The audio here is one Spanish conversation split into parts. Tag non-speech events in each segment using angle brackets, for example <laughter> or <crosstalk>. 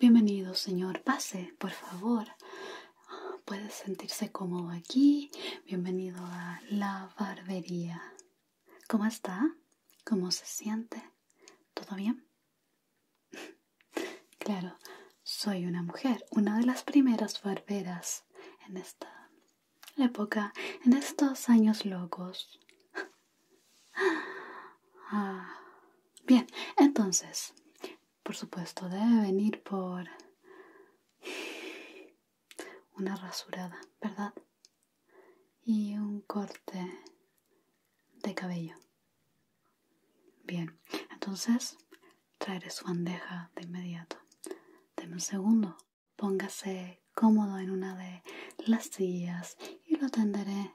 Bienvenido, señor. Pase, por favor. Puede sentirse cómodo aquí. Bienvenido a la barbería. ¿Cómo está? ¿Cómo se siente? ¿Todo bien? <laughs> claro, soy una mujer, una de las primeras barberas en esta época, en estos años locos bien, entonces, por supuesto, debe venir por una rasurada, ¿verdad? Y un corte de cabello. Bien, entonces traeré su bandeja de inmediato. Deme un segundo. Póngase cómodo en una de las sillas y lo tenderé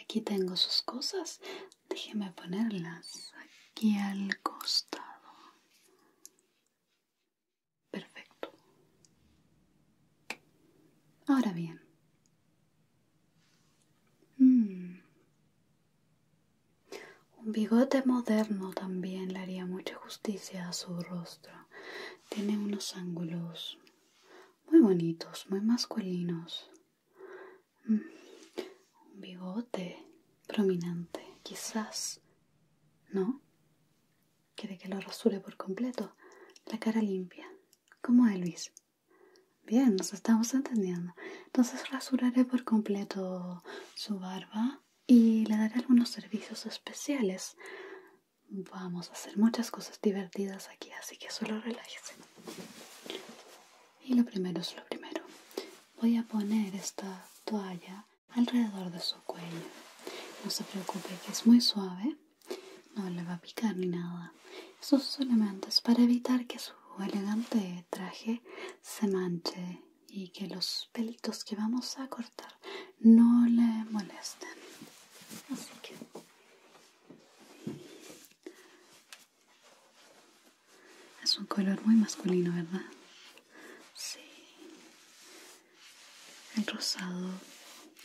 Aquí tengo sus cosas. Déjeme ponerlas aquí al costado. Perfecto. Ahora bien. Mm. Un bigote moderno también le haría mucha justicia a su rostro. Tiene unos ángulos muy bonitos, muy masculinos. Mm. Un bigote prominente. Quizás no. Quiere que lo rasure por completo. La cara limpia. Como Luis? Bien, nos estamos entendiendo. Entonces rasuraré por completo su barba y le daré algunos servicios especiales. Vamos a hacer muchas cosas divertidas aquí, así que solo relájese. Y lo primero es lo primero. Voy a poner esta toalla alrededor de su cuello. No se preocupe que es muy suave, no le va a picar ni nada. Eso solamente es para evitar que su elegante traje se manche y que los pelitos que vamos a cortar no le molesten. Así que es un color muy masculino, ¿verdad? Sí. El rosado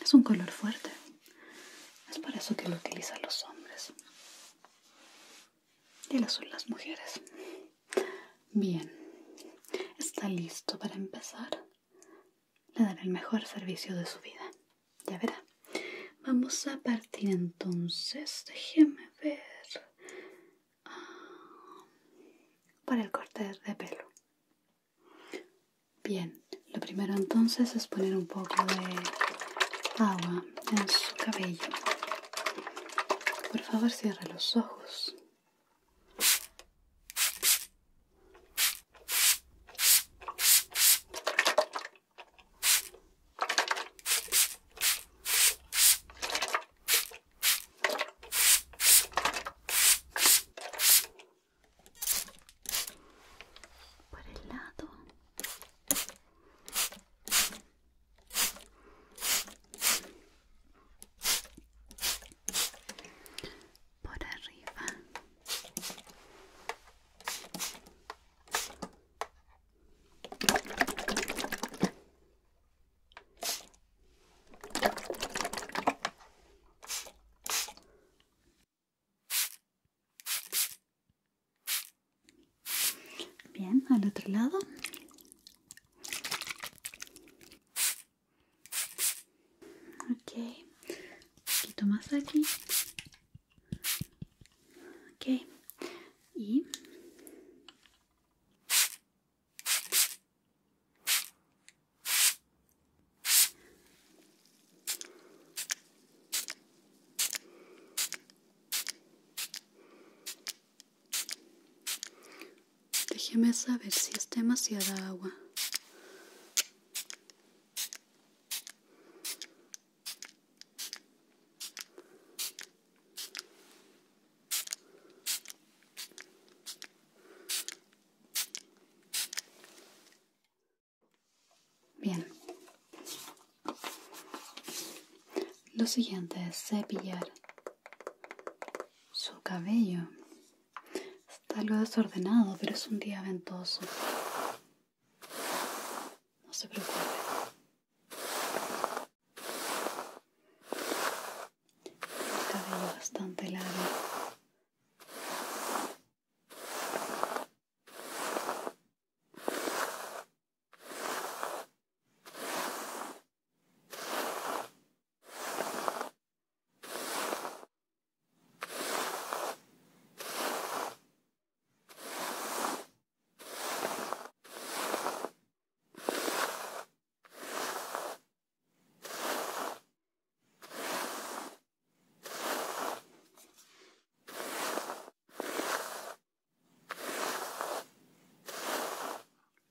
es un color fuerte. Es por eso que lo utilizan los hombres. Y el azul las mujeres. Bien. Está listo para empezar. Le daré el mejor servicio de su vida. Ya verá. Vamos a partir entonces. Déjeme ver para el corte de pelo. Bien, lo primero entonces es poner un poco de agua en su cabello. Por favor, cierre los ojos por el lado por arriba Bien, al otro lado. Ok, un poquito más aquí. Ok, y Déjeme saber si es demasiada agua. Bien. Lo siguiente es cepillar su cabello. Está algo desordenado, pero es un día ventoso. No se preocupe. El cabello bastante largo.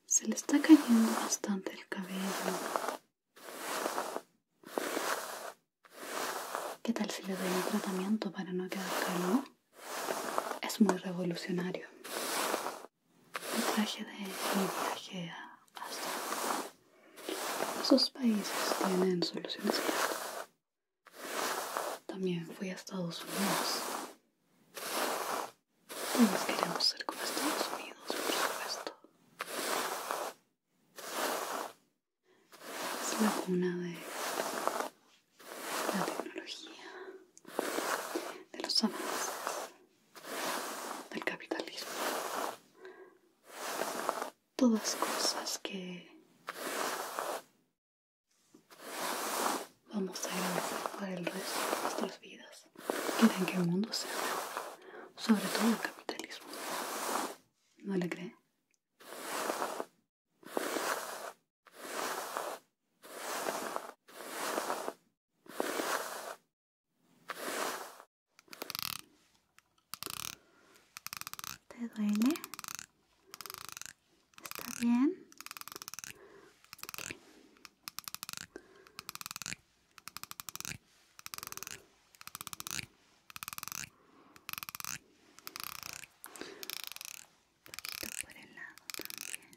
Se le está cayendo bastante el cabello. ¿Qué tal si le doy un tratamiento para no quedar calvo? Es muy revolucionario traje de viaje a Esos países tienen soluciones claras. También fui a Estados Unidos. Todos queremos ser como Estados Unidos, por supuesto. Es la cuna de la tecnología de los hombres del capitalismo. Todas cosas que vamos a a para el resto de nuestras vidas. Quieren que el mundo sea sobre todo el capitalismo. ¿No le creen? ¿Te duele? ¿Está bien? Un poquito por el lado también.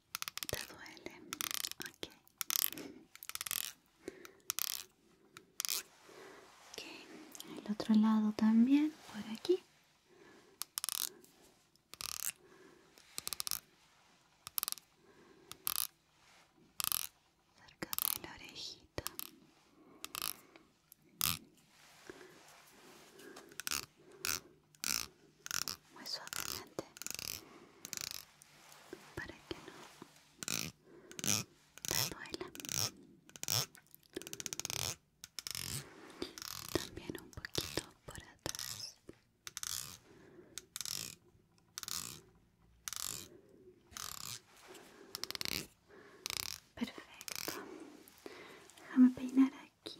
¿Te duele? Ok. el otro lado también, por aquí. Cerca de la orejita muy suavemente para que no te duela también un poquito por atrás perfecto déjame peinar aquí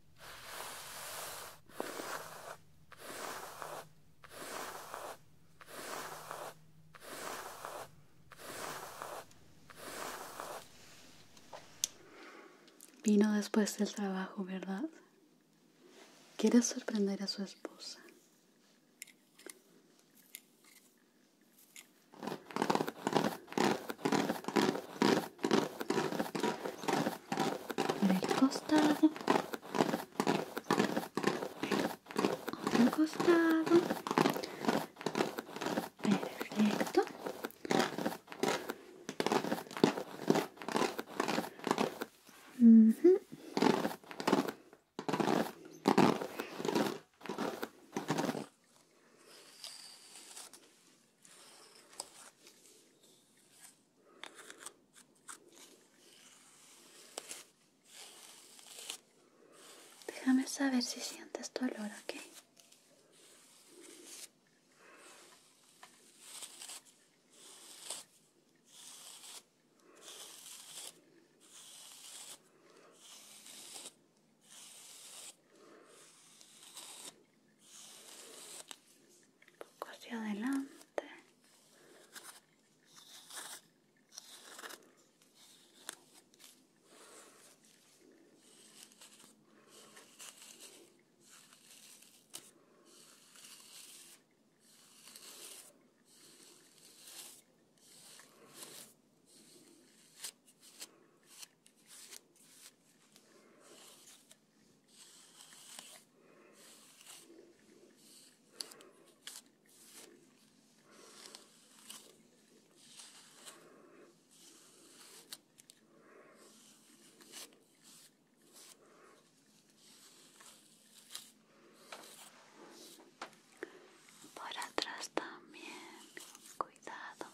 Vino después del trabajo, ¿verdad? Quiere sorprender a su esposa por el costado otro costado perfecto Déjame saber si sientes dolor, ¿ok? un poco hacia adelante por atrás también, cuidado.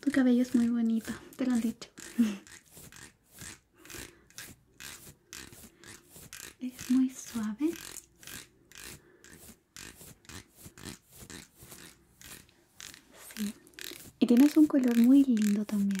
Tu cabello es muy bonito, te lo han dicho. <laughs> es muy suave y tienes un color muy lindo también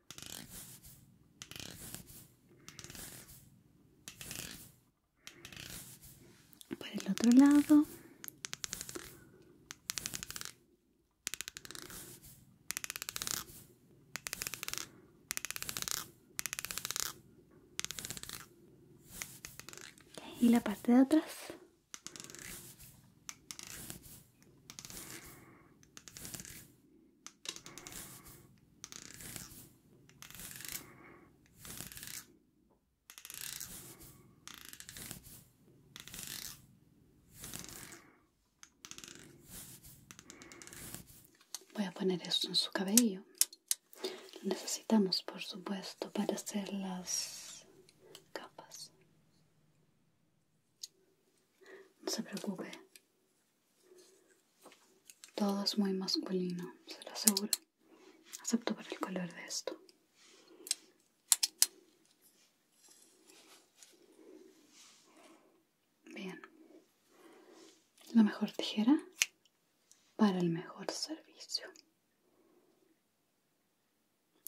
por el otro lado y la parte de atrás Voy a poner esto en su cabello. Lo necesitamos, por supuesto, para hacer las capas. No se preocupe, todo es muy masculino, se lo aseguro, excepto por el color de esto. Bien, la mejor tijera para el mejor servicio.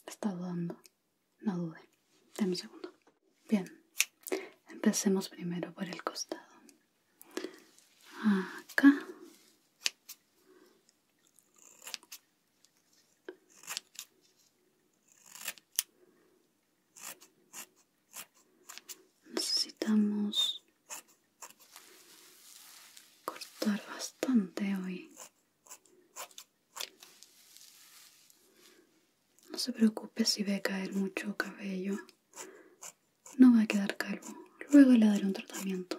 Está dando. No dude, Dame un segundo. Bien. Empecemos primero por el costado. Acá. Necesitamos cortar bastante hoy. No se preocupe si ve caer mucho cabello. No va a quedar calvo. Luego le daré un tratamiento.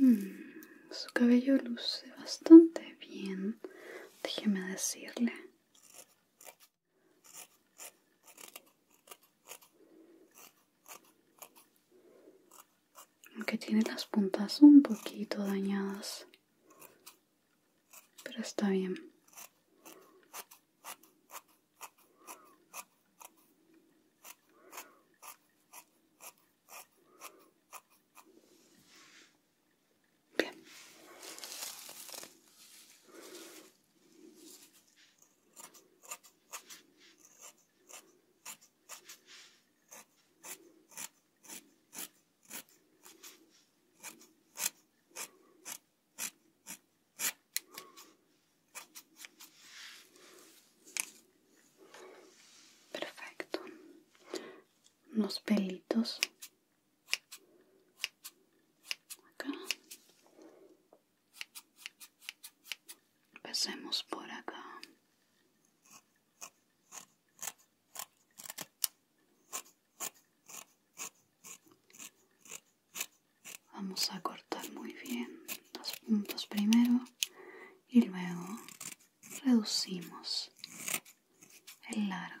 Mm, su cabello luce bastante bien, déjeme decirle. Aunque tiene las puntas un poquito dañadas pero está bien. Perfecto. Unos pelitos. Acá. por acá. Vamos a cortar muy bien los puntos primero y luego reducimos el largo.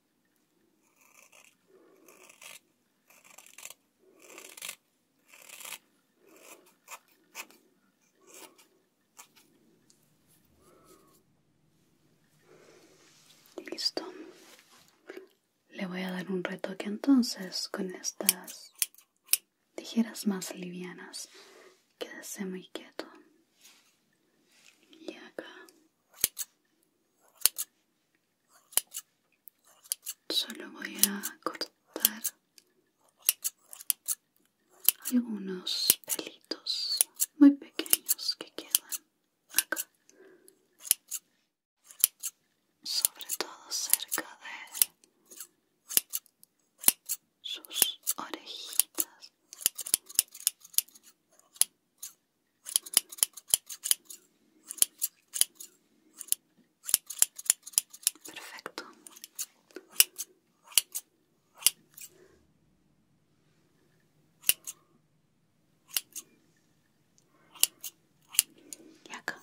Listo. Le voy a dar un retoque entonces con estas tijeras más livianas. Quédese muy quieto. Y acá. Solo voy a cortar algunos pelitos muy pequeños que quedan acá, sobre todo cerca de sus orejitas. Perfecto. Y acá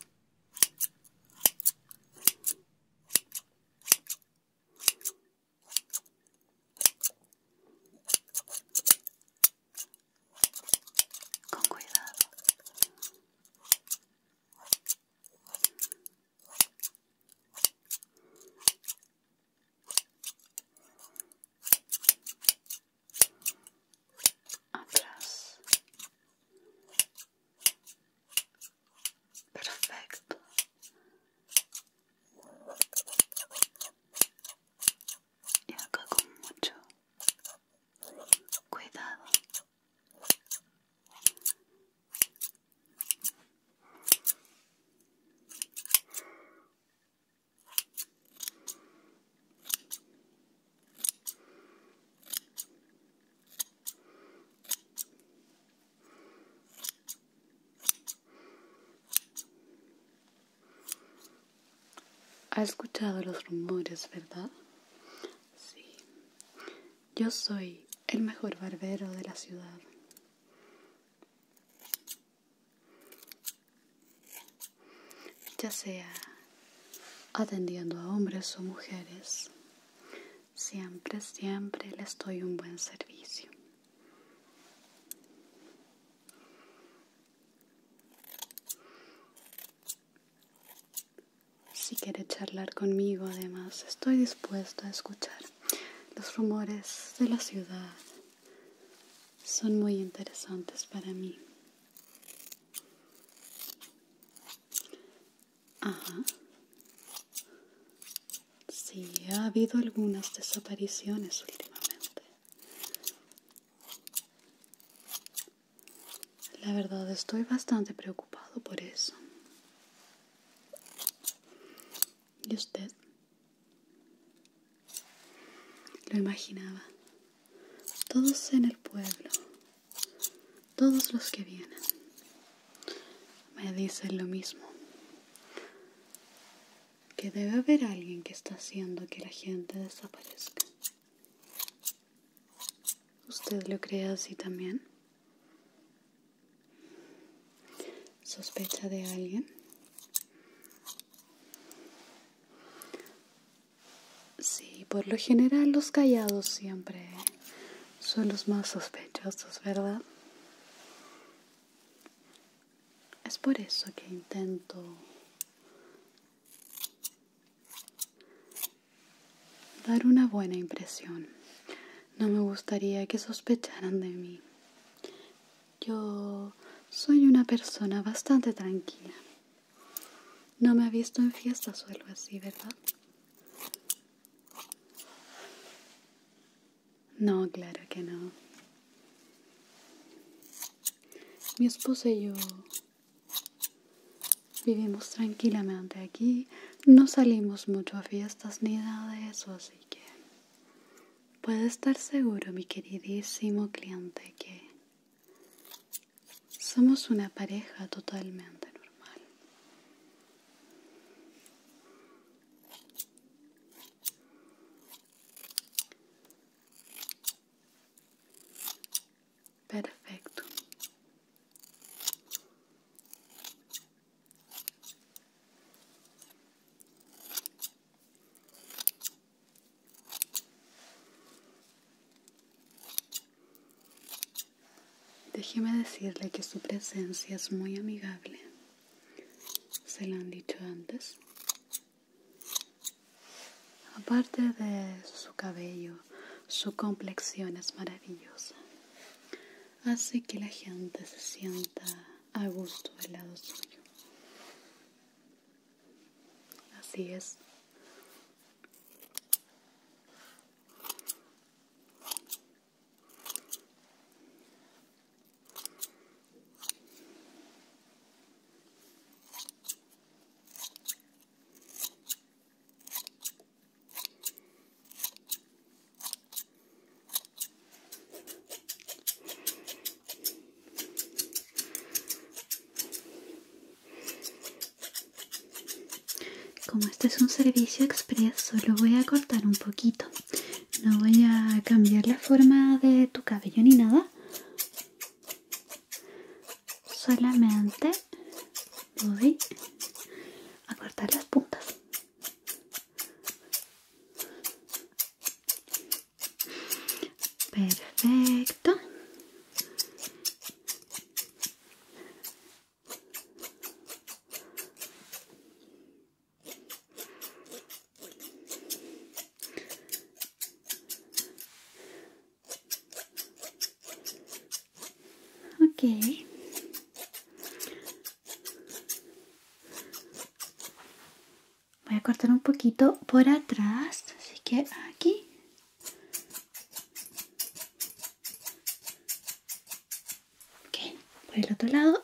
con cuidado. Atrás. Perfecto y acá con mucho cuidado ha escuchado los rumores, ¿verdad? Sí. Yo soy el mejor barbero de la ciudad. Ya sea atendiendo a hombres o mujeres, siempre, siempre les doy un buen servicio. Si quiere charlar conmigo, además, estoy dispuesto a escuchar. Los rumores de la ciudad son muy interesantes para mí. Ajá. Sí, ha habido algunas desapariciones últimamente. La verdad estoy bastante preocupado por eso. ¿Y usted? Lo imaginaba. Todos en el pueblo, todos los que vienen, me dicen lo mismo. Que debe haber alguien que está haciendo que la gente desaparezca. ¿Usted lo cree así también? ¿Sospecha de alguien? Sí, por lo general los callados siempre son los más sospechosos, ¿verdad? Es por eso que intento Dar una buena impresión. No me gustaría que sospecharan de mí. Yo soy una persona bastante tranquila. No me ha visto en fiestas o así, ¿verdad? No, claro que no. Mi esposo y yo Vivimos tranquilamente aquí, no salimos mucho a fiestas ni nada de eso, así que puede estar seguro, mi queridísimo cliente, que somos una pareja totalmente normal. Perfecto. Déjeme decirle que su presencia es muy amigable. Se lo han dicho antes. Aparte de su cabello, su complexión es maravillosa. Hace que la gente se sienta a gusto del lado suyo. Así es. Como este es un servicio expreso, lo voy a cortar un poquito. No voy a cambiar la forma de tu cabello ni nada solamente voy a cortar las puntas perfecto Ok. Voy a cortar un poquito por atrás, así que aquí. Okay. por el otro lado.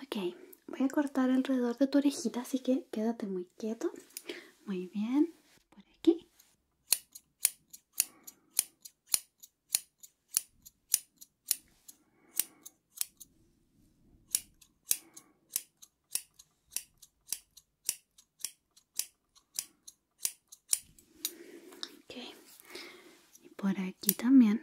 Ok, voy a cortar alrededor de tu orejita, así que quédate muy quieto. Muy bien, por aquí Okay. Y por aquí también.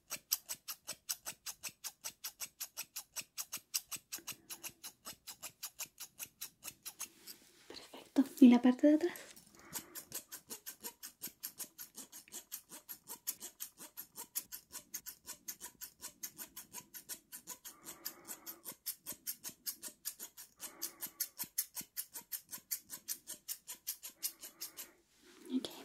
Perfecto. ¿Y la parte de atrás? Okay.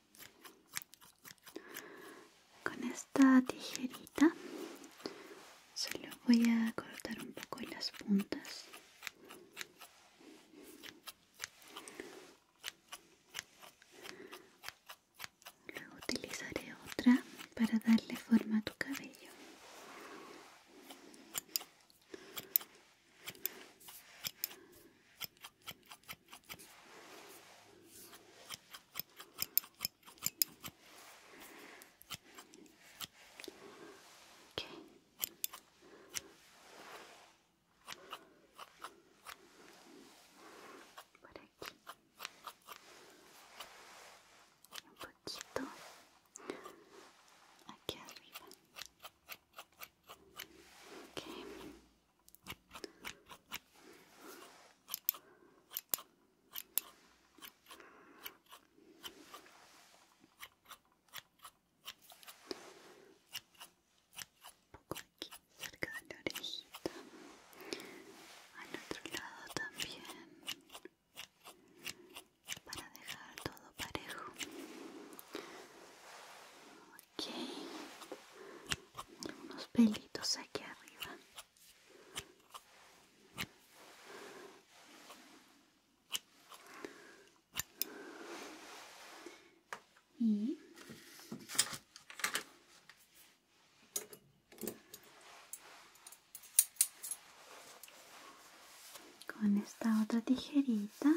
Con esta tijerita solo voy a cortar un poco las puntas. Luego utilizaré otra para darle forma a tu cabello. Okay. Por aquí. Un poquito. Aquí arriba. Okay poco aquí cerca de la orejita al otro lado también para dejar todo parejo okay, unos pelitos aquí arriba y con esta otra tijerita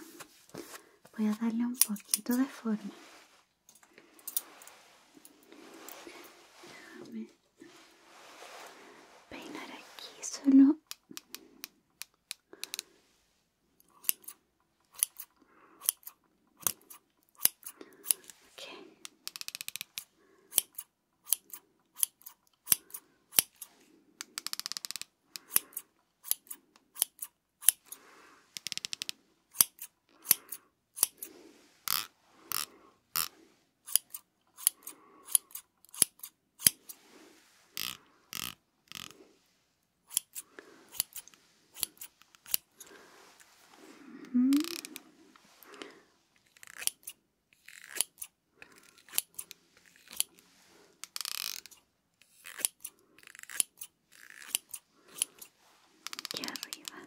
voy a darle un poquito de forma Déjame peinar aquí solo. Okay. -hmm. Aquí arriba.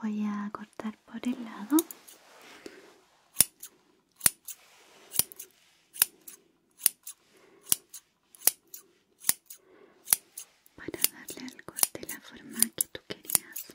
Voy a cortar por el lado. Para darle al corte la forma que tú querías.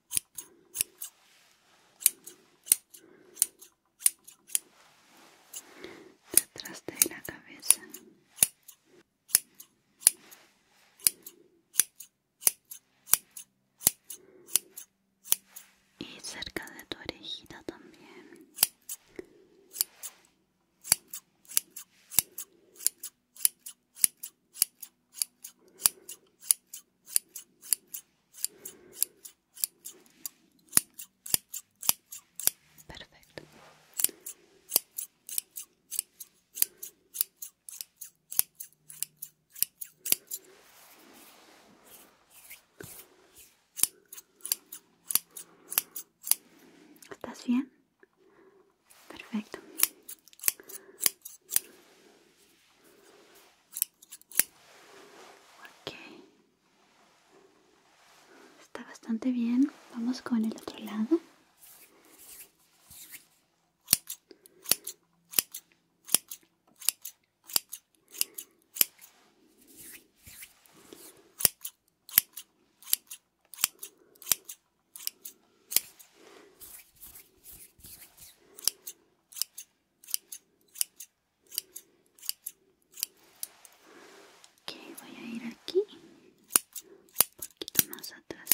detrás de la cabeza y cerca de tu orejita también Perfecto. ¿Estás bien? Perfecto. Está bastante bien. Vamos con el otro lado. Ok, voy a ir aquí, un poquito más atrás.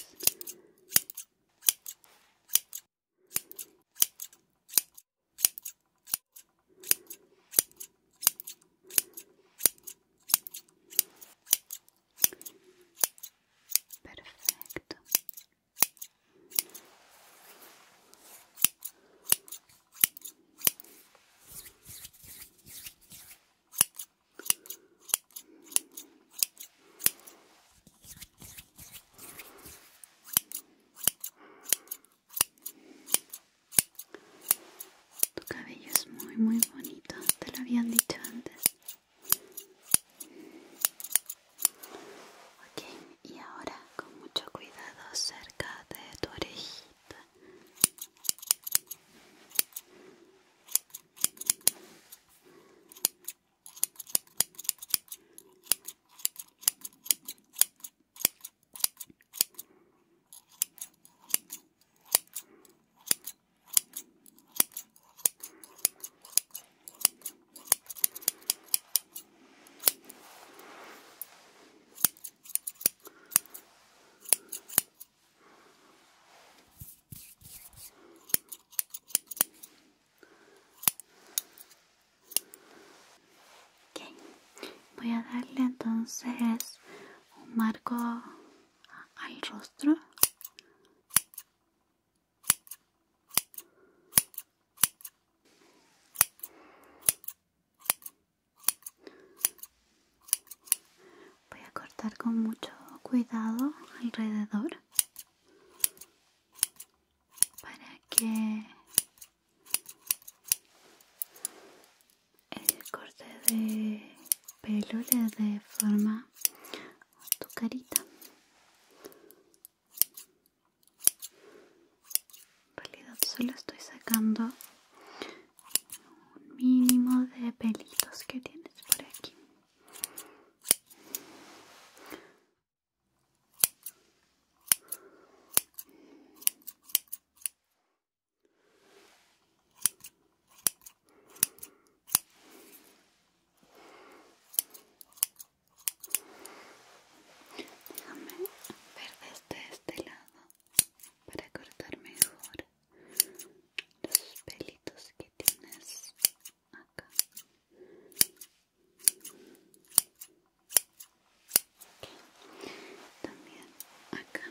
Perfecto. Tu cabello es muy muy bonito, te lo habían dicho antes. Ok, y ahora con mucho cuidado cerca de tu orejita. Voy a darle entonces un marco al rostro Voy a cortar con mucho cuidado alrededor para que el corte de pelo le dé forma a tu carita. En realidad solo estoy sacando un mínimo de pelitos que tienes por aquí. Déjame ver desde este lado para cortar mejor los pelitos que tienes acá. También acá.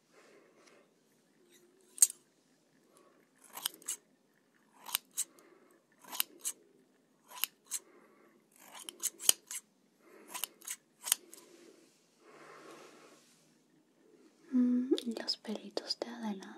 Mm, los pelitos de adelante.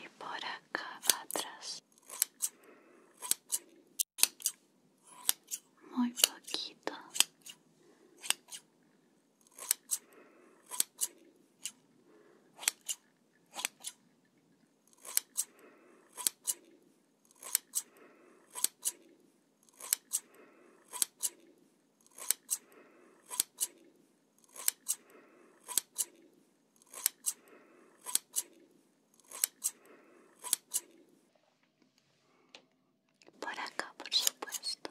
E por acá atrás, muito poquito. Por acá, por supuesto.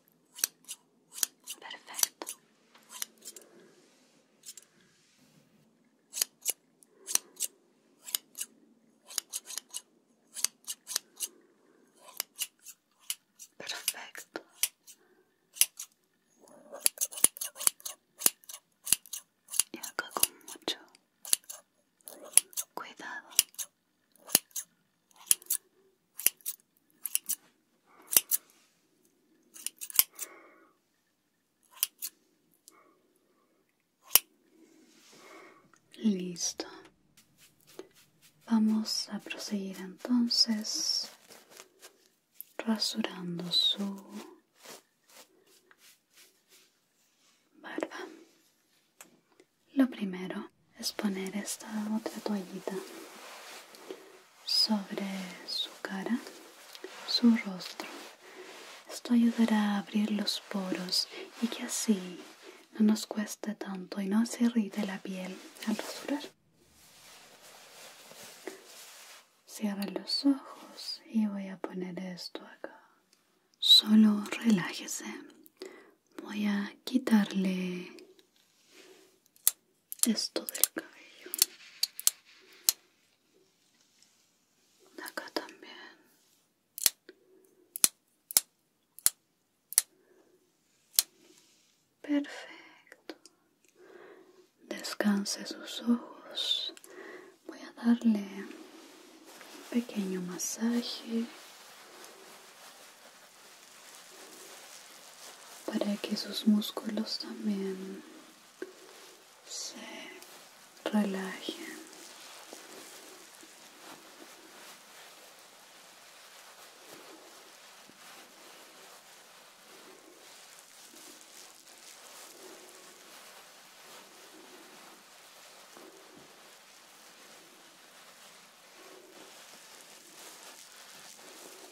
Perfecto. Perfecto. Y acá con mucho cuidado Listo. Vamos a proseguir entonces rasurando su barba. Lo primero es poner esta otra toallita sobre su cara, su rostro. Esto ayudará a abrir los poros y que así no nos cueste tanto y no se irrite la piel al rasurar. Cierra los ojos y voy a poner esto acá. Solo relájese. Voy a quitarle esto del cabello acá también perfecto descanse sus ojos voy a darle un pequeño masaje para que sus músculos también se relajen.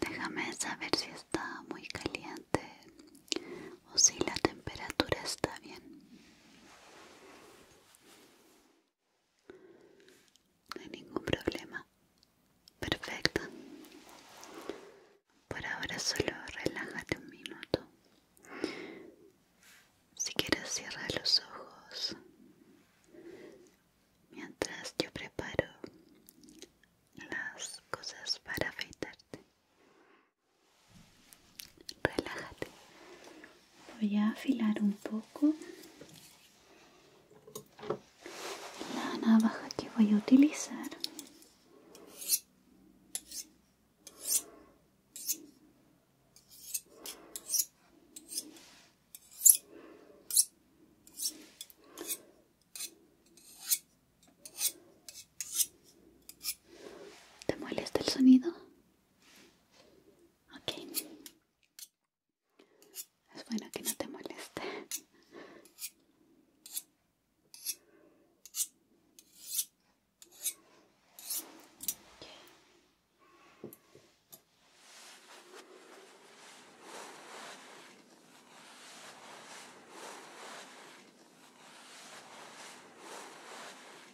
Déjame saber si está muy caliente o si la temperatura está bien. No hay ningún problema. Perfecto. Por ahora solo relájate un minuto. Si quieres cierra los ojos mientras yo preparo las cosas para afeitarte relájate voy a afilar un poco la navaja que voy a utilizar ¿Te molesta el sonido? Ok. Es bueno que no te moleste.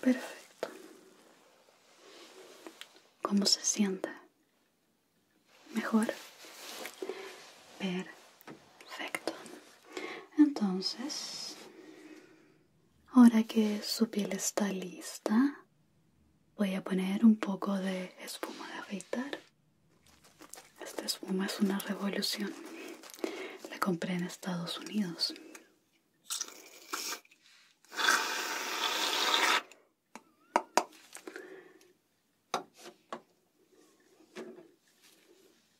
Perfecto. ¿Cómo se siente? ¿Mejor? Perfecto. Entonces, ahora que su piel está lista, voy a poner un poco de espuma de afeitar. Esta espuma es una revolución. La compré en Estados Unidos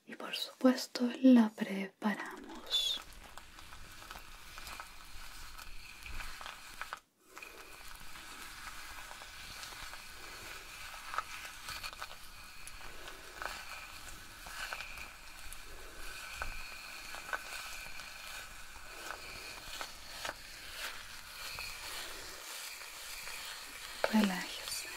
y por supuesto la preparamos Relájese.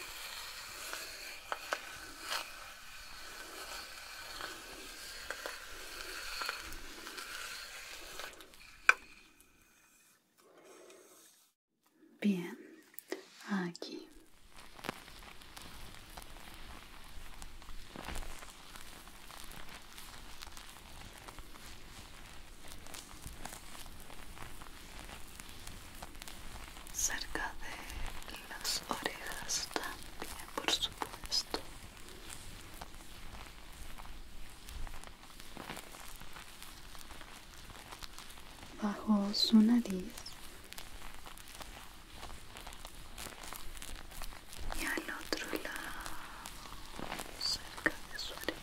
Bien, aquí cerca de las orejas también por supuesto bajo su nariz y al otro lado cerca de su oreja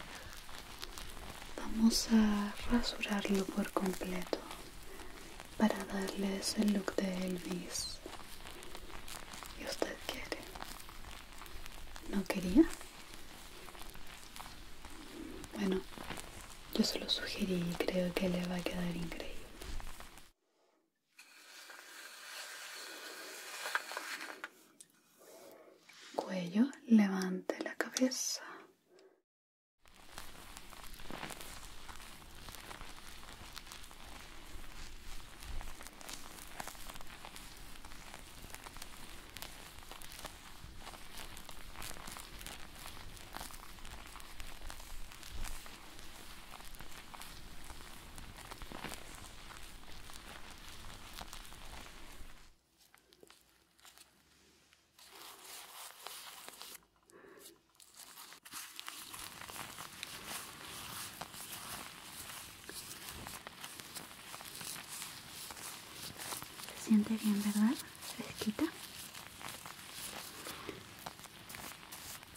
vamos a rasurarlo por completo para darles el look de Elvis y usted quiere no quería bueno yo se lo sugerí y creo que le va a quedar increíble Cuello, levante la cabeza. Se siente bien, ¿verdad? Fresquita.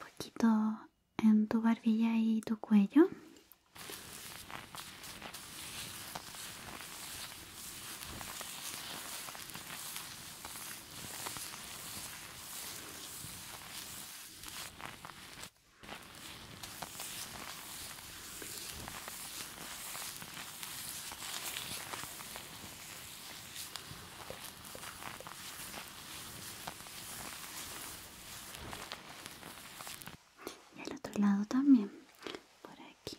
Un poquito en tu barbilla y tu cuello. Y el otro lado también, por aquí.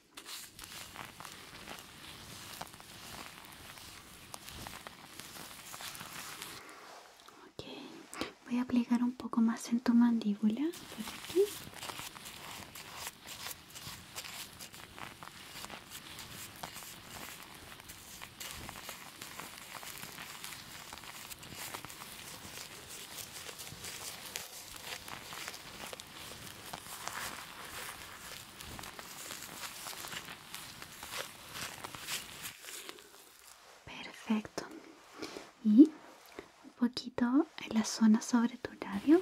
Okay. Voy a aplicar un poco más en tu mandíbula, por aquí. Perfecto. Y un poquito en la zona sobre tu labio.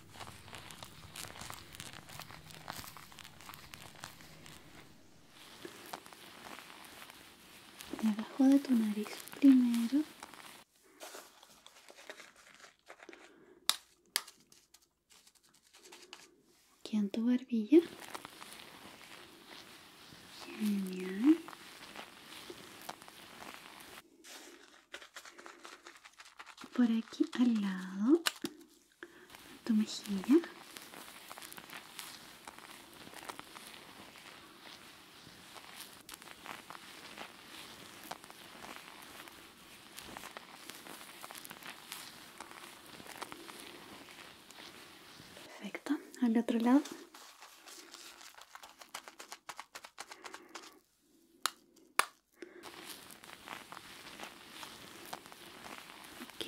debajo de tu nariz primero aquí en tu barbilla por aquí al lado tu mejilla perfecto al otro lado Ok.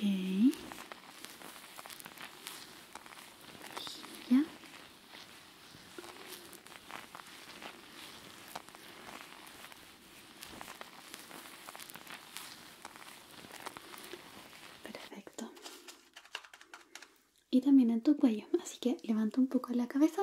Perfecto. Y también en tu cuello, así que levanta un poco la cabeza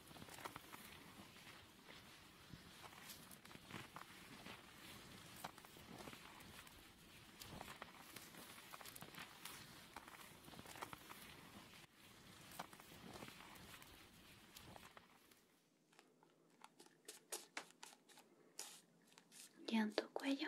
y en cuello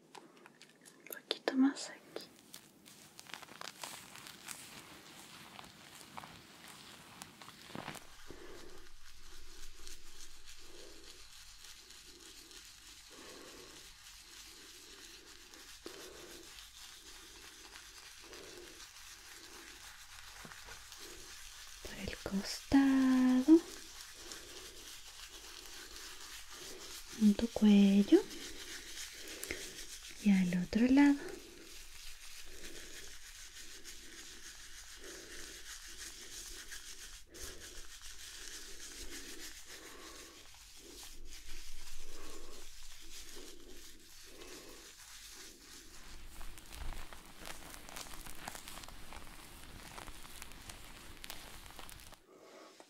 un poquito más aquí por el costado en tu cuello y al otro lado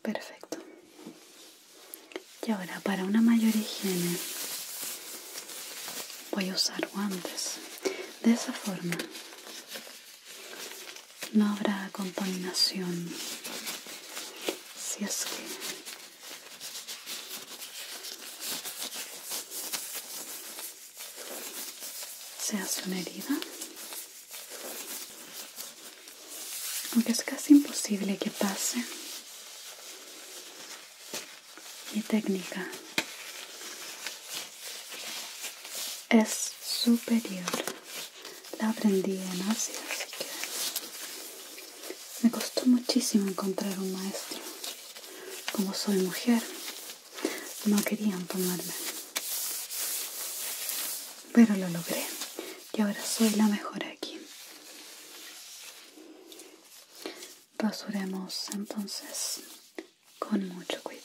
Perfecto. Y ahora para una mayor higiene voy a usar guantes. De esa forma no habrá contaminación. Si es que se hace una herida aunque es casi imposible que pase, mi técnica es superior. La aprendí en Asia, así que me costó muchísimo encontrar un maestro. Como soy mujer, no querían tomarme, pero lo logré y ahora soy la mejor aquí. Rasuremos entonces con mucho cuidado.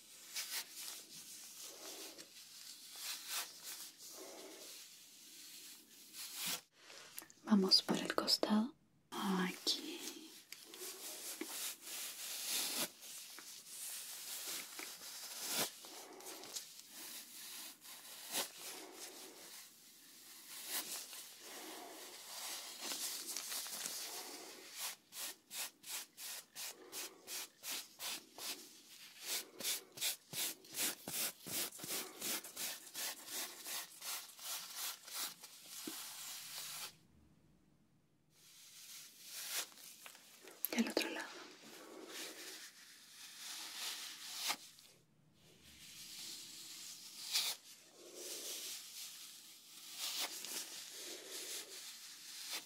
Vamos por el costado. Aquí. Y al otro lado.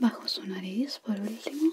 bajo su nariz por último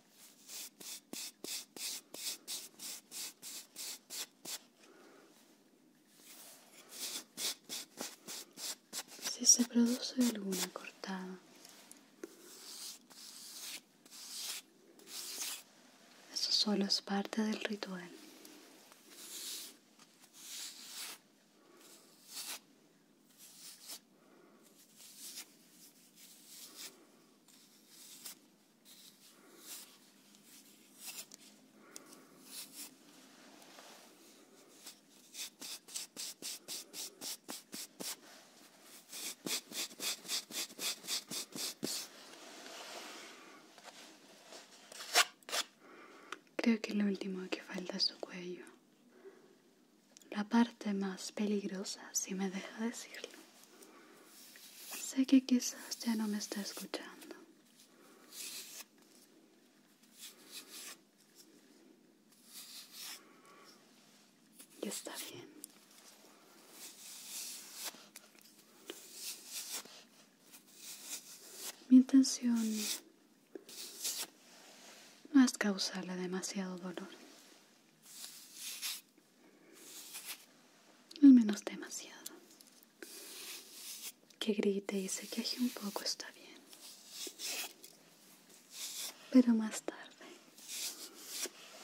Si se produce alguna cortada, eso solo es parte del ritual. Creo que lo último que falta es su cuello la parte más peligrosa, si me deja decirlo. Sé que quizás ya no me está escuchando. Y está bien. Mi intención no es causarle demasiado dolor al menos demasiado. Que grite y se queje un poco está bien. Pero más tarde,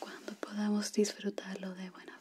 cuando podamos disfrutarlo de buena forma.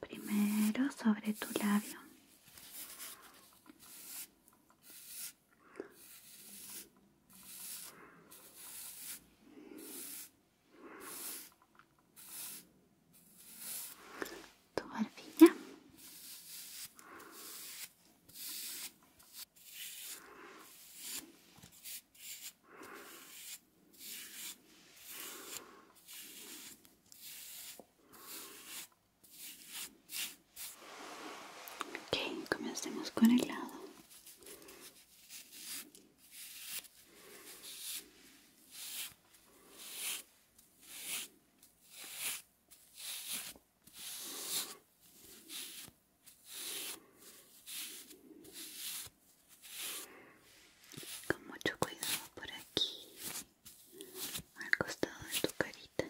Primero sobre tu labio tu barbilla ok comencemos con el lado con mucho cuidado por aquí, al costado de tu carita.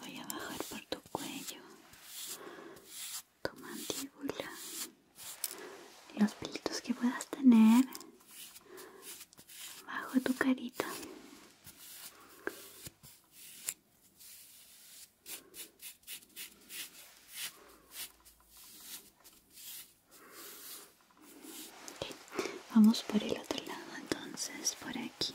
Voy a bajar por tu cuello, tu mandíbula, los pelitos que puedas tener bajo tu carita. Vamos por el otro lado entonces, por aquí.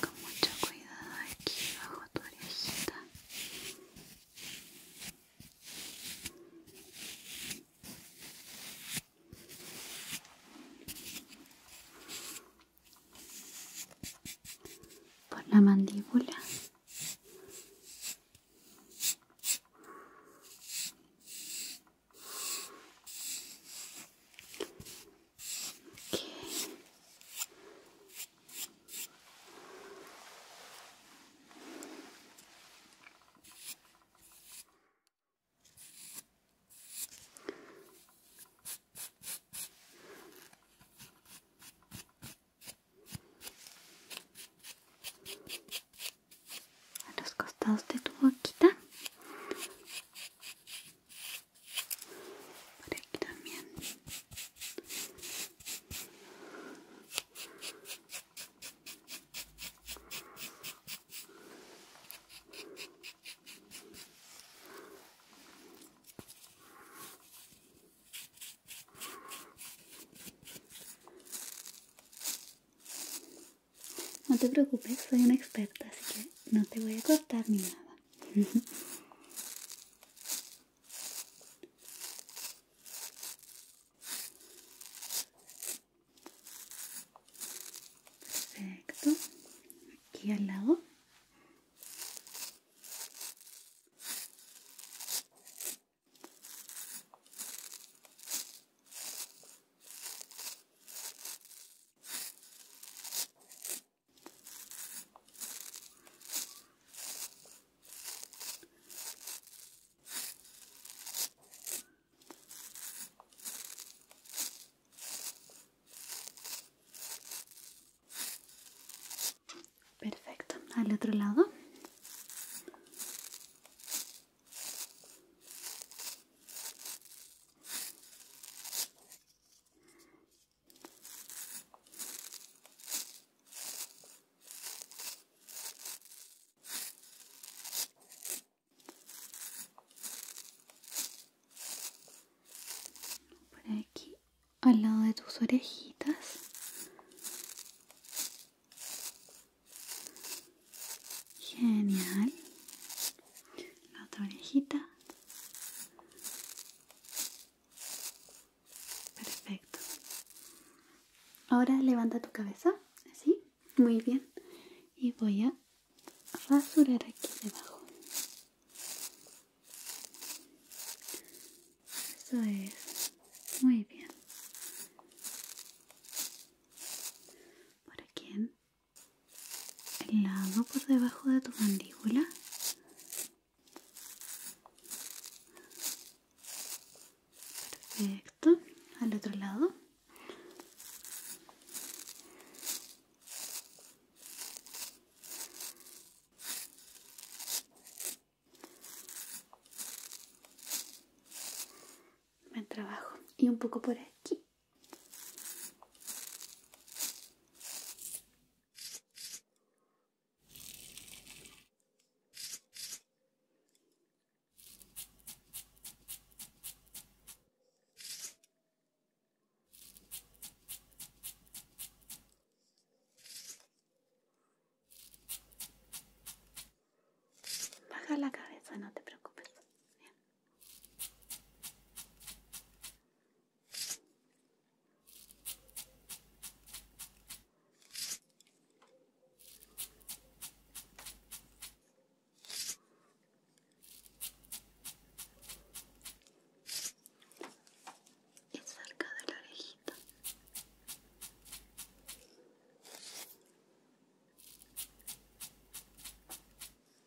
con mucho cuidado aquí bajo tu orejita por la mandíbula a los costados de tu boquita por aquí también no te preocupes, soy una experta, así que no te voy a cortar ni nada. Perfecto. Aquí al lado. Perfecto, al otro lado. Por aquí, al lado de tus orejitas. Genial. La otra orejita. Perfecto. Ahora levanta tu cabeza, así. Muy bien. Y voy a rasurar aquí debajo. Eso es. Muy bien. Por aquí en el lado por debajo de tu mandíbula perfecto al otro lado me trabajo y un poco por aquí Baja la cabeza, no te preocupes. Es cerca de la orejita.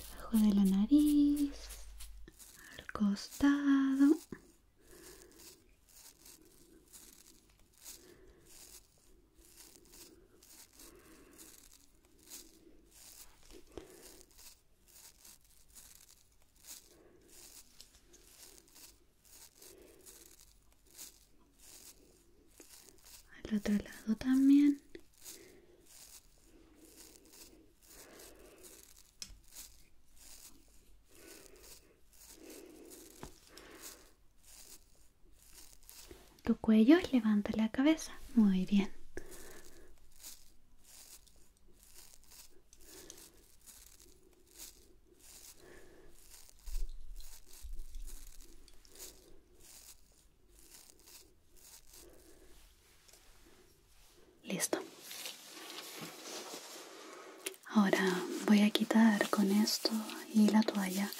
debajo de la nariz al costado al otro lado también tu cuello levanta la cabeza muy bien Listo. Ahora voy a quitar con esto y la toalla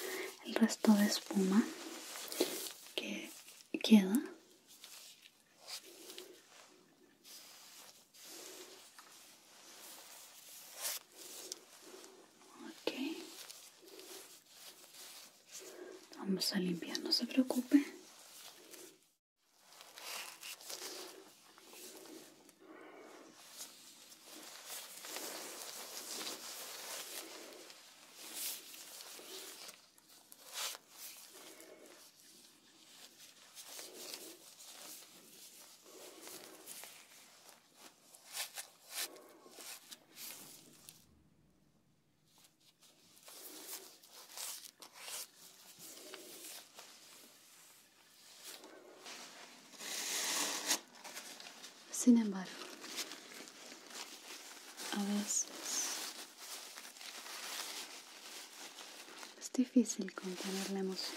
el resto de espuma que queda Okay, Vamos a limpiar, no se preocupe. Sin embargo, a veces es difícil contener la emoción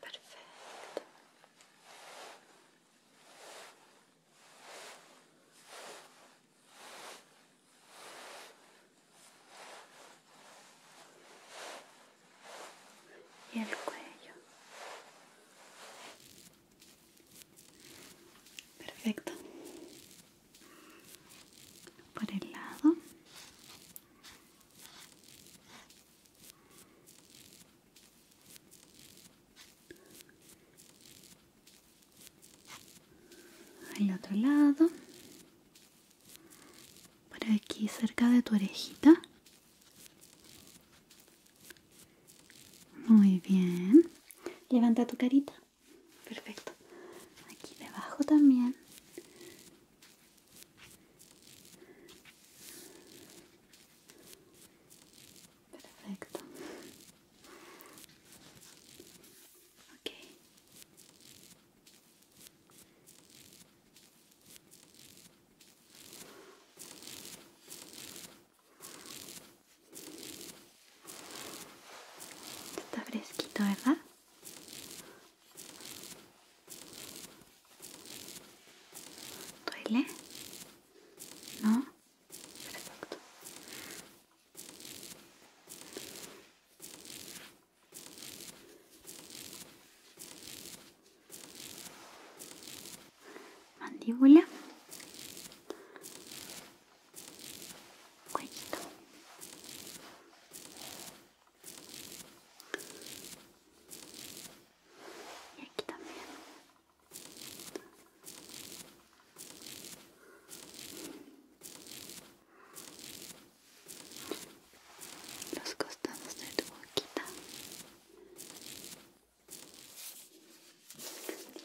Perfecto. Y el cuello. Perfecto. Por el lado. Al otro lado. Por aquí cerca de tu orejita. Muy bien. Levanta tu carita. Perfecto. Aquí debajo también. Perfecto. Está fresquito, ¿verdad? ¿Duele? ¿No? Perfecto mandíbula, cuellito, y aquí también. Los costados de tu boquita.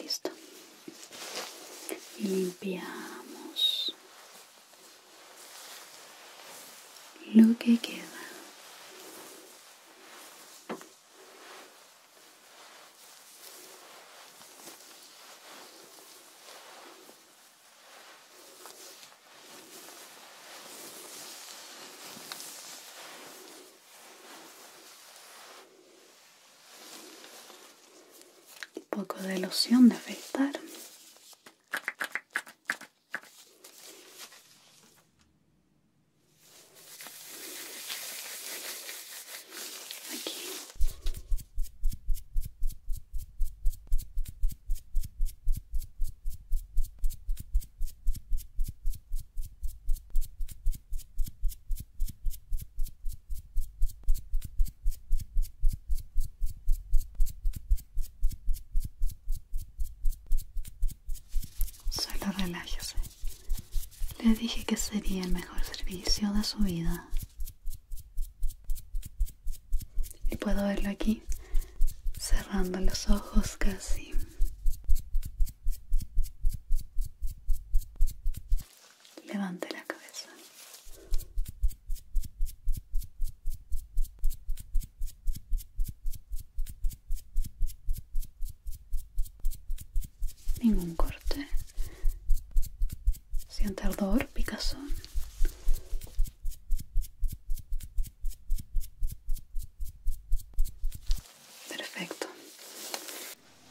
Listo. limpiamos lo que queda. Un poco de loción de afeitar. Solo relájese. Le dije que sería el mejor servicio de su vida. Y puedo verlo aquí, cerrando los ojos casi. Levante la cabeza. Ningún corte. Siente ardor, picazón. Perfecto.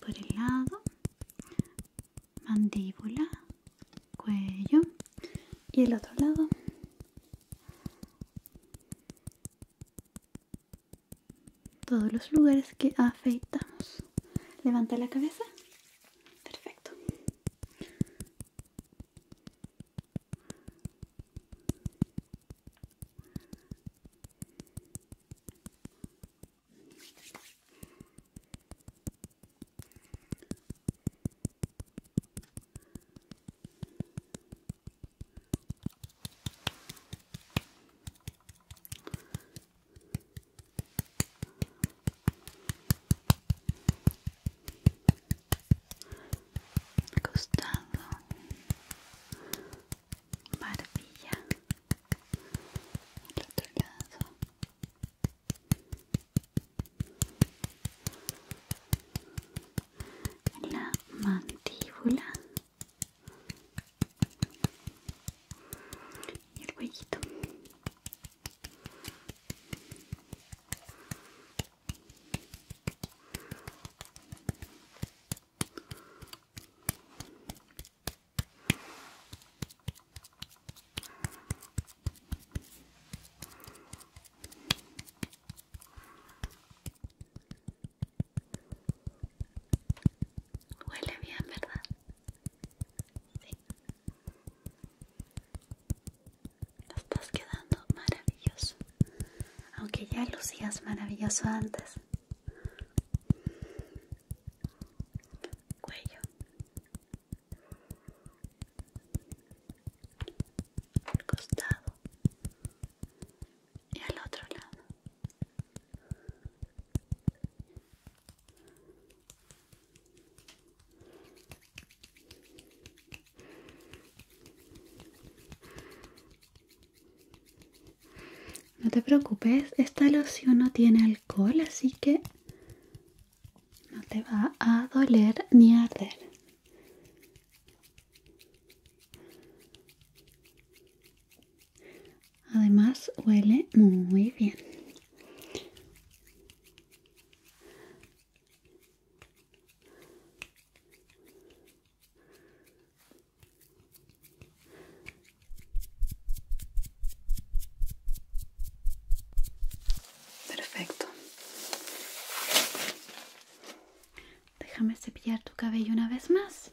por el lado mandíbula cuello y el otro lado todos los lugares que afeitamos levanta la cabeza perfecto costando maravilla el otro lado la mandíbula y el cuello. Huele bien, ¿verdad? estás quedando maravilloso. Aunque ya lucías maravilloso antes cuello al costado y al otro lado no te preocupes, esta loción no tiene alcohol, así que no te va a doler ni a arder. Además huele muy bien. Perfecto. Déjame cepillar tu cabello una vez más.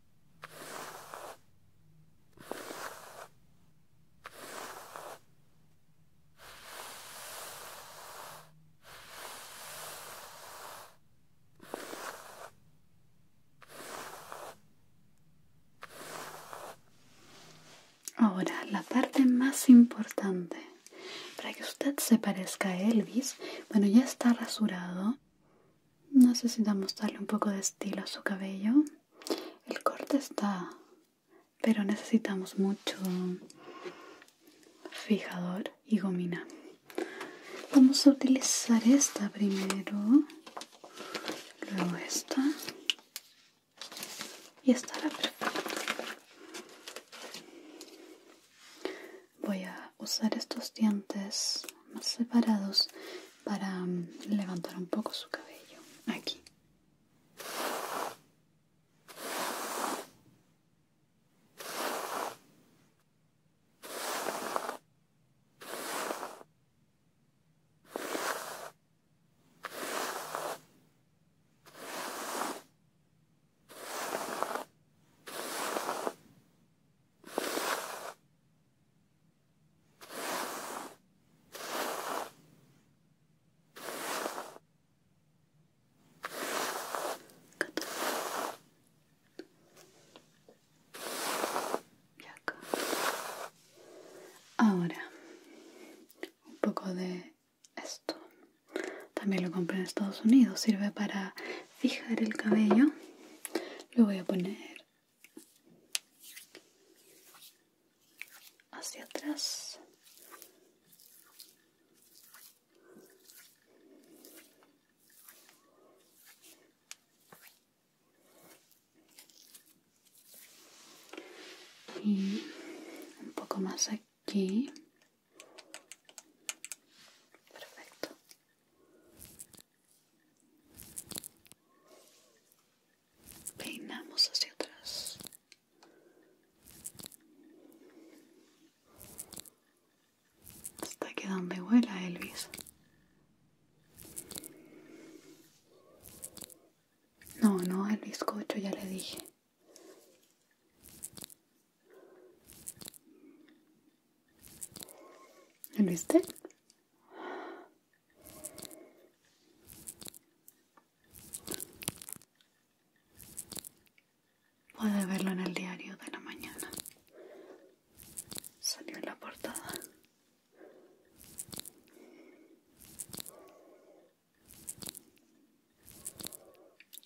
Ahora, la parte más importante para que usted se parezca a Elvis, bueno, ya está rasurado, necesitamos darle un poco de estilo a su cabello el corte está pero necesitamos mucho fijador y gomina vamos a utilizar esta primero luego esta y estará perfecto voy a usar estos dientes más separados para mm, levantar un poco su cabello aquí Ahora, un poco de esto. También lo compré en Estados Unidos. Sirve para fijar el cabello lo voy a poner hacia atrás y un poco más aquí perfecto Peinamos hacia atrás. Hasta que donde vuela Elvis. No, no, el bizcocho ya le dije lo viste? Puede verlo en el diario de la mañana. Salió en la portada.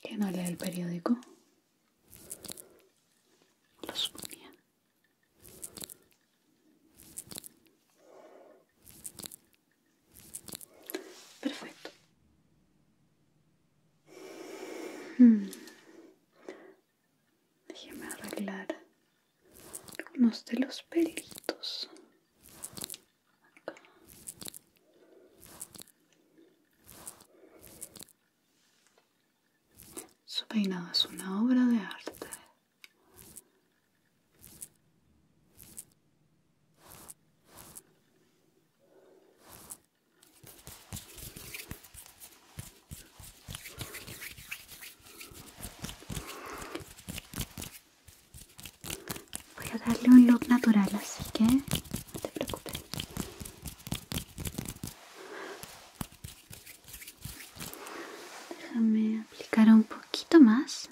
¿Quién no lee el periódico? Lo suponía. Perfecto. Déjame hmm. Déjeme arreglar algunos de los pelitos. Su peinado es una obra de arte. Voy a darle un look natural, así que no te preocupes. Déjame aplicar un poquito más.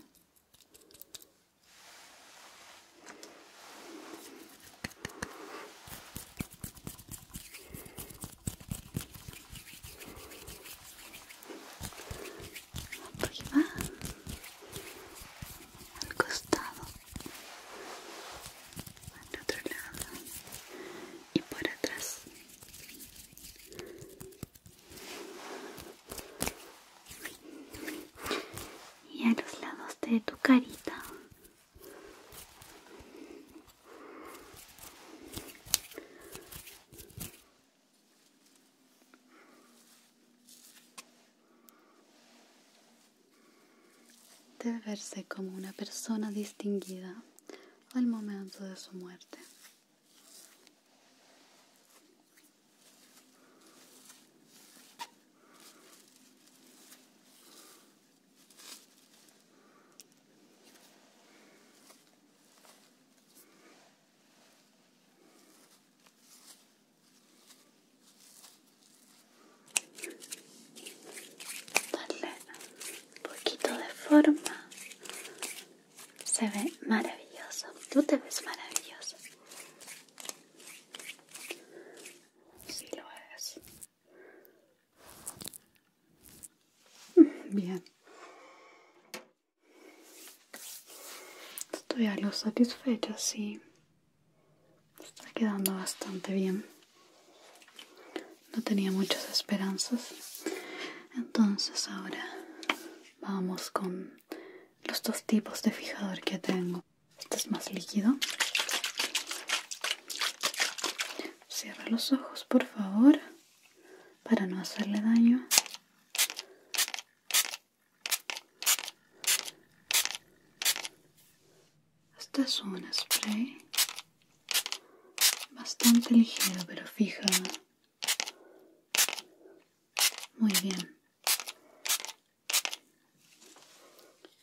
Aquí va. Al costado. Al otro lado. Y por atrás y a los lados de tu carita Debe verse como una persona distinguida al momento de su muerte darle un poquito de forma se ve maravilloso tú te ves maravilloso si lo ves <laughs> bien estoy algo satisfecho sí está quedando bastante bien no tenía muchas esperanzas entonces ahora vamos con los dos tipos de fijador que tengo este es más líquido cierra los ojos por favor para no hacerle daño este es un spray bastante ligero, pero fija. Muy bien.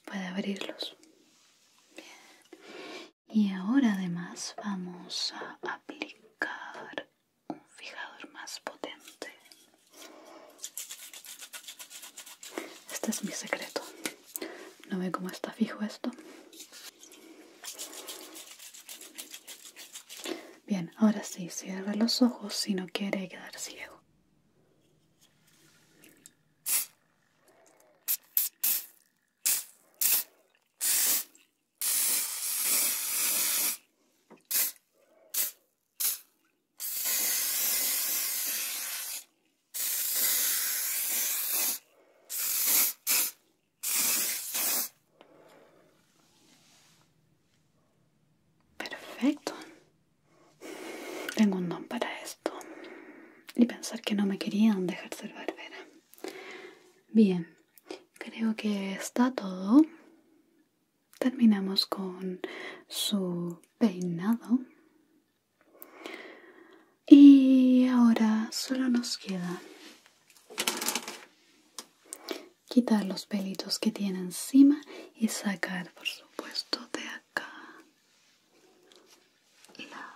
Puede abrirlos. Y ahora además vamos a aplicar un fijador más potente. Este es mi secreto. ¿No ve cómo está fijo esto? Bien, ahora sí, cierra los ojos si no quiere quedar ciego. Perfecto. Tengo un don para esto. Y pensar que no me querían dejar ser barbera. Bien, creo que está todo. Terminamos con su peinado y ahora solo nos queda quitar los pelitos que tiene encima y sacar por supuesto de acá la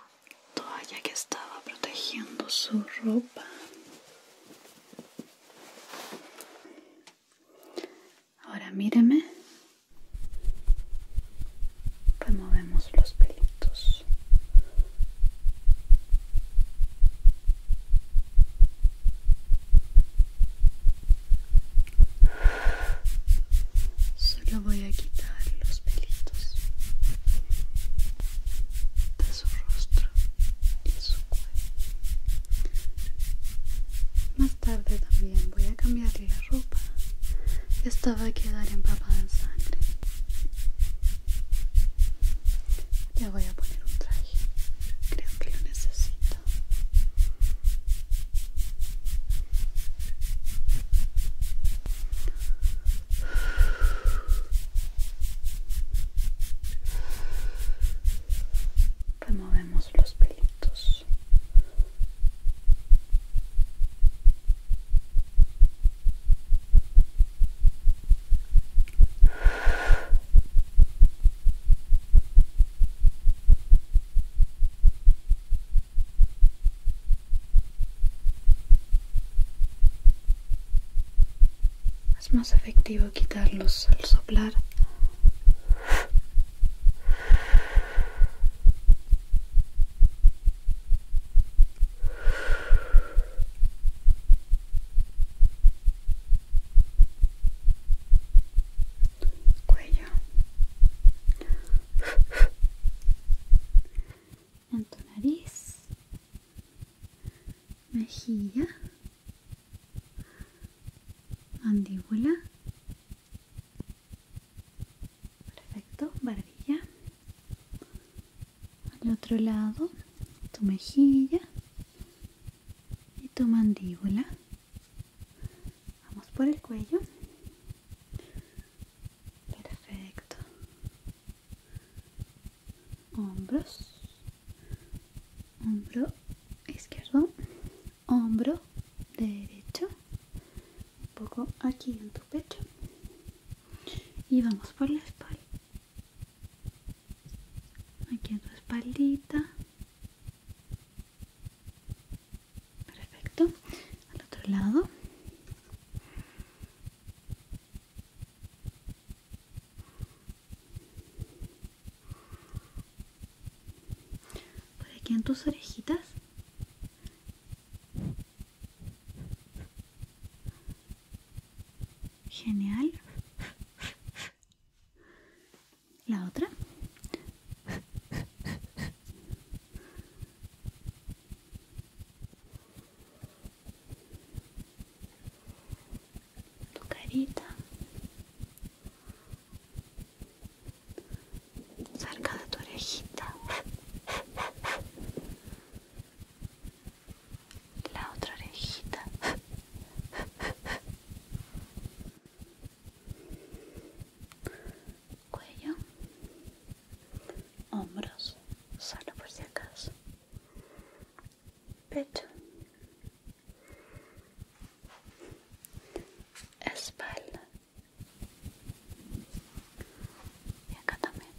toalla que estaba protegiendo su ropa ahora míreme removemos los pelitos solo voy a quitar los pelitos de su rostro y su cuello más tarde también voy a cambiarle la ropa esta va a quedar empapada en sangre ya voy a poner un traje, creo que lo necesito. Removemos los pelitos. Es más efectivo quitarlos al soplar cuello en tu nariz mejilla mandíbula perfecto barbilla al otro lado tu mejilla y tu mandíbula vamos por el cuello perfecto hombros hombro izquierdo hombro derecho un poco aquí en tu pecho y vamos por la espalda aquí en tu espaldita perfecto al otro lado por aquí en tus orejitas Genial. La otra. Tu carita. Cerca de tu orejita la otra orejita cuello hombros solo por si acaso pecho espalda y acá también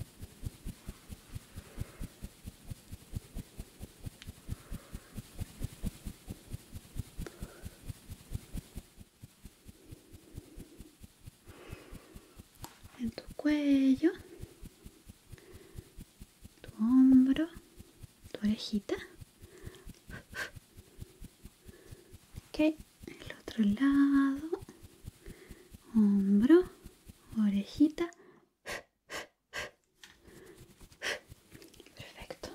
en tu cuello, tu hombro, tu orejita. Ok, el otro lado, hombro, orejita. Perfecto.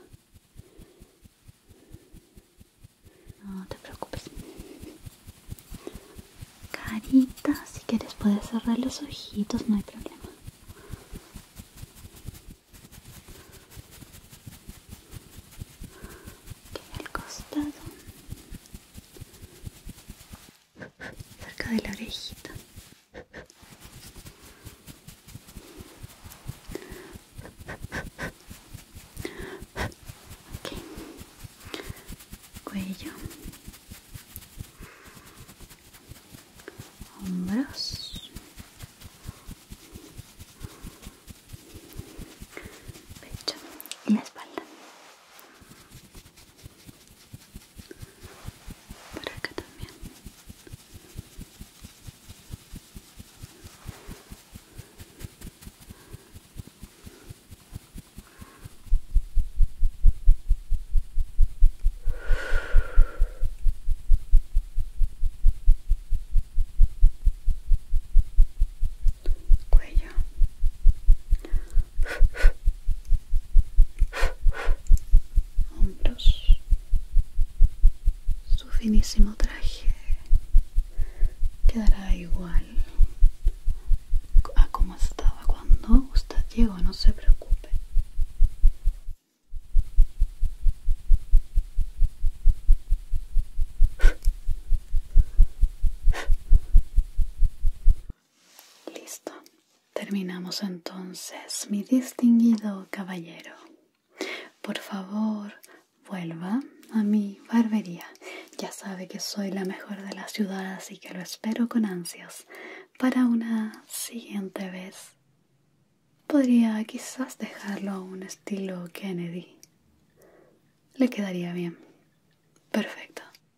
No te preocupes. Carita, si quieres puedes cerrar los ojitos, no hay problema. el costado cerca de la orejita cuello hombros pecho y la espalda por acá también cuello hombros su finísimo traje quedará igual a como estaba cuando usted llegó no se preocupe Listo. Terminamos entonces, mi distinguido caballero. Por favor, vuelva a mi barbería. Ya sabe que soy la mejor de las ciudad, y que lo espero con ansias. Para una siguiente vez, podría quizás dejarlo a un estilo Kennedy. Le quedaría bien. Perfecto.